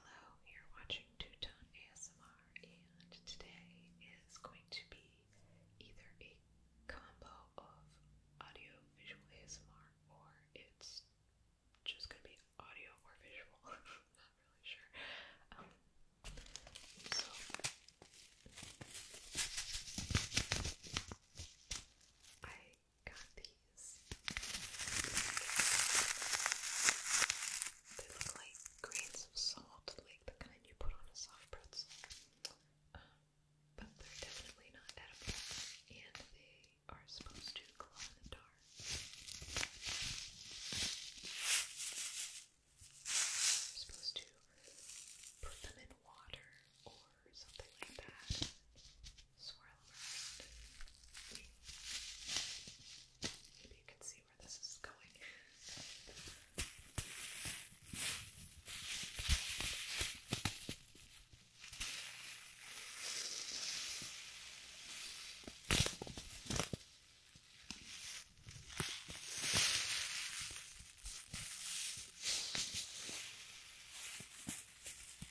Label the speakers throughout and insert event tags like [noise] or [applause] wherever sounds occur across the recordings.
Speaker 1: Hello, you're watching Two Tone ASMR, and today is going to be either a combo of audio visual ASMR or it's just going to be audio or visual. [laughs] not really sure. Um, so, I got these. They look like grains of salt, like the kind you put on a soft pretzel. but they're definitely not edible, and they are supposed to glow in the dark. supposed to put them in water or something like that, swirl around. Maybe you can see where this is going. Okay,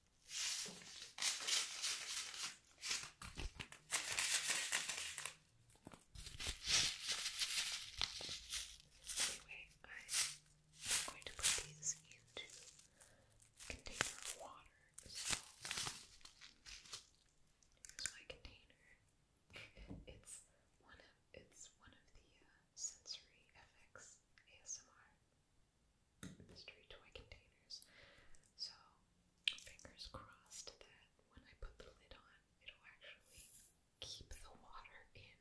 Speaker 1: Anyway, I'm going to put these into a container of water. So, here's my container. [laughs] it's one of it's one of the uh, sensory FX ASMR mystery toy containers. So, fingers crossed that when I put the lid on, it'll actually keep the water in.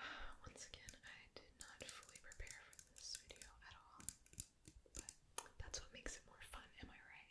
Speaker 1: [sighs] Once again, I did not fully prepare for this video at all, but that's what makes it more fun, am I right?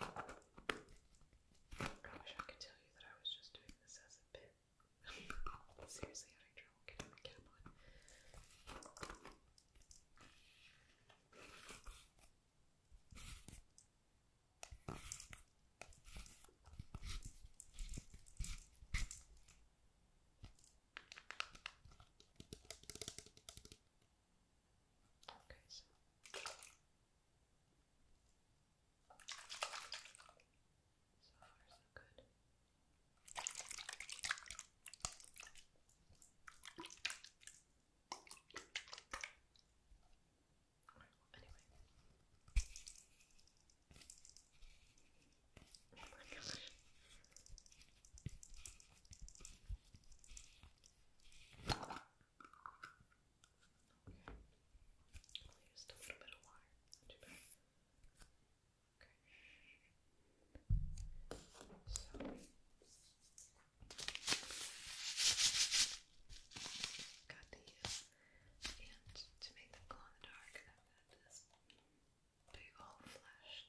Speaker 1: I wish I could tell you that I was just doing this as a bit. I'm [laughs] seriously having trouble getting the cap on. Okay, so. So far, so good. anyway. Oh my gosh. Okay. Only just a little bit of water. Okay. So. Got these. And to make them glow in the dark, I've old flashlight.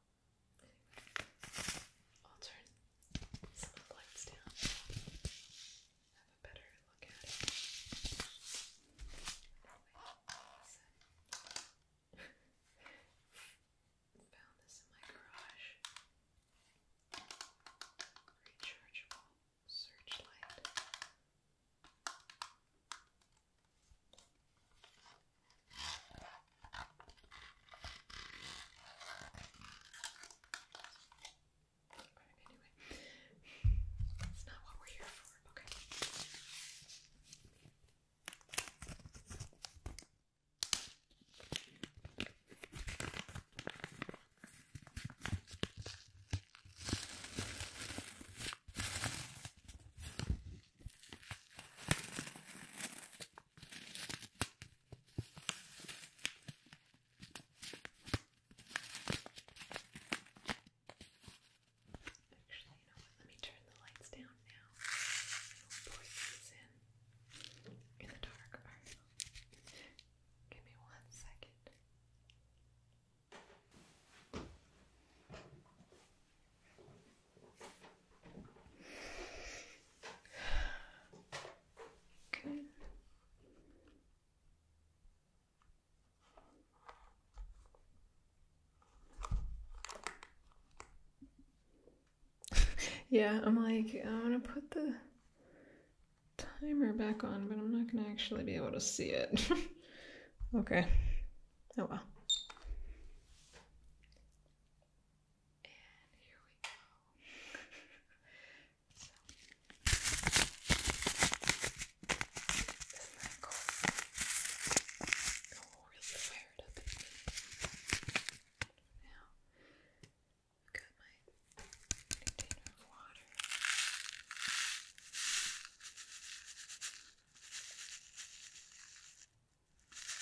Speaker 1: I'll turn some of the lights down. Have a better look at it. [laughs] Found this in my garage. Rechargeable searchlight. Right, anyway, that's not what we're here for. Okay. Okay. Actually, you know what? Let me turn the lights down now. We'll pour these in in the dark. Right. Give me one second. [laughs] yeah, I'm like, I am going to put the timer back on, but I'm not going to actually be able to see it. [laughs] okay. Oh well. And here we go. [laughs] so, isn't that cool? Oh, really fired up in me. Now, I've got my container of water. Oh, there we go.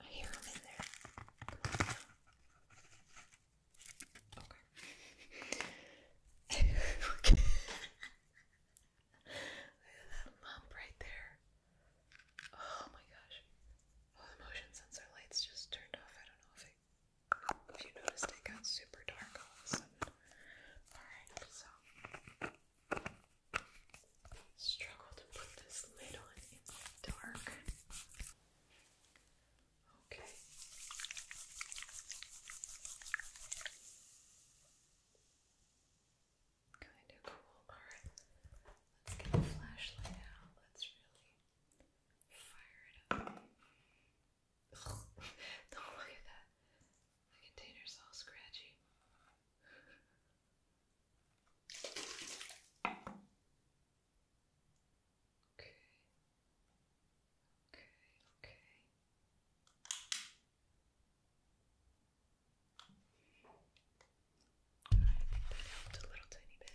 Speaker 1: I hear them in there. Okay. [laughs] that lump right there. Oh my gosh. Oh, the motion sensor lights just turned off. I don't know if, you noticed it got super dark Alright, so. Struggle to put this lid on in the dark. Okay. Kind of cool. Alright, let's get the flashlight out. Let's really fire it up. Ugh. [laughs] look at that. The container's all scratchy. Okay. Okay, okay. I think that helped a little tiny bit.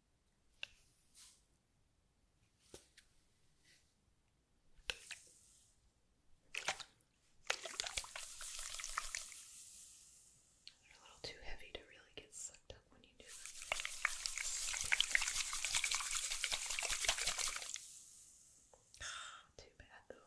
Speaker 1: They're a little too heavy to really get sucked up when you do too bad though.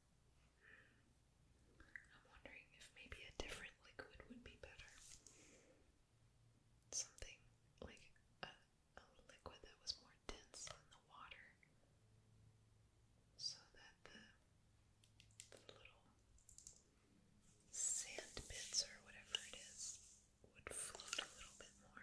Speaker 1: I'm wondering if maybe a different liquid would be better. Something like a, liquid that was more dense than the water, so that the, the little sand bits or whatever it is would float a little bit more.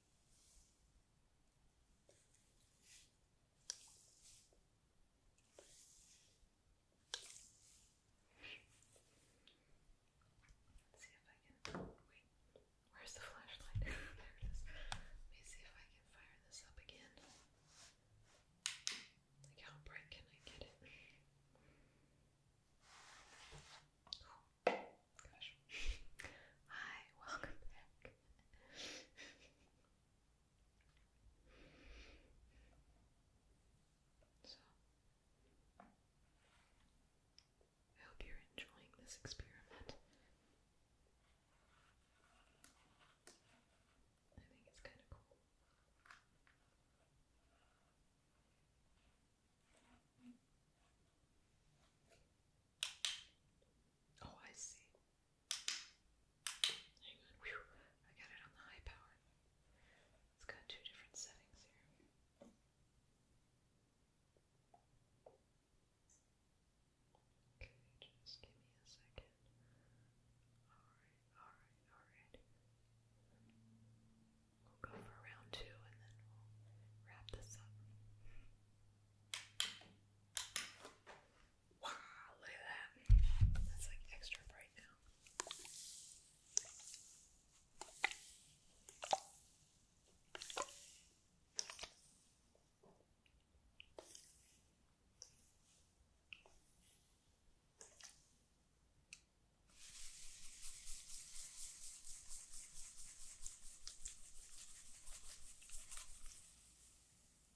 Speaker 1: Let's where's the flashlight? [laughs] there it is. Let me see if I can fire this up again. Like, how bright can I get it? Oh, [laughs] Hi, welcome back. [laughs] So, I hope you're enjoying this experiment. I think it's kind of cool. Oh, I see. Hang on, I got it on the high power. It's got two different settings here. Okay, just give me a second. Alright, alright, alright. We'll go for round two and then we'll wrap this up. Wow, look at that. That's like extra bright now. Trying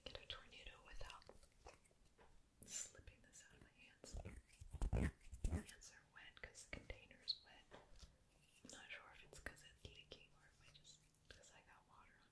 Speaker 1: to get a tornado without slipping this out of my hands. My hands are wet because the container's wet. not sure if it's because it's leaking or if I just because I got water on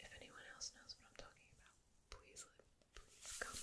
Speaker 1: if anyone else knows what I'm talking about, please please comment.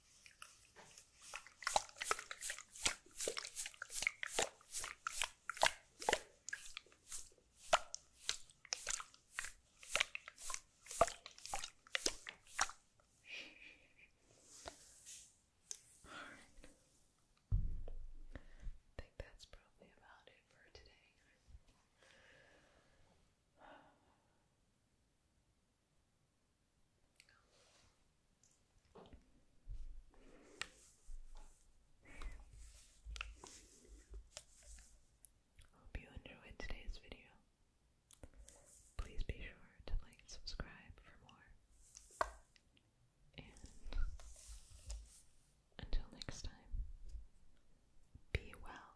Speaker 1: I think that's probably about it for today. Hope you enjoyed today's video. Please be sure to like and subscribe for more. And until next time, be well.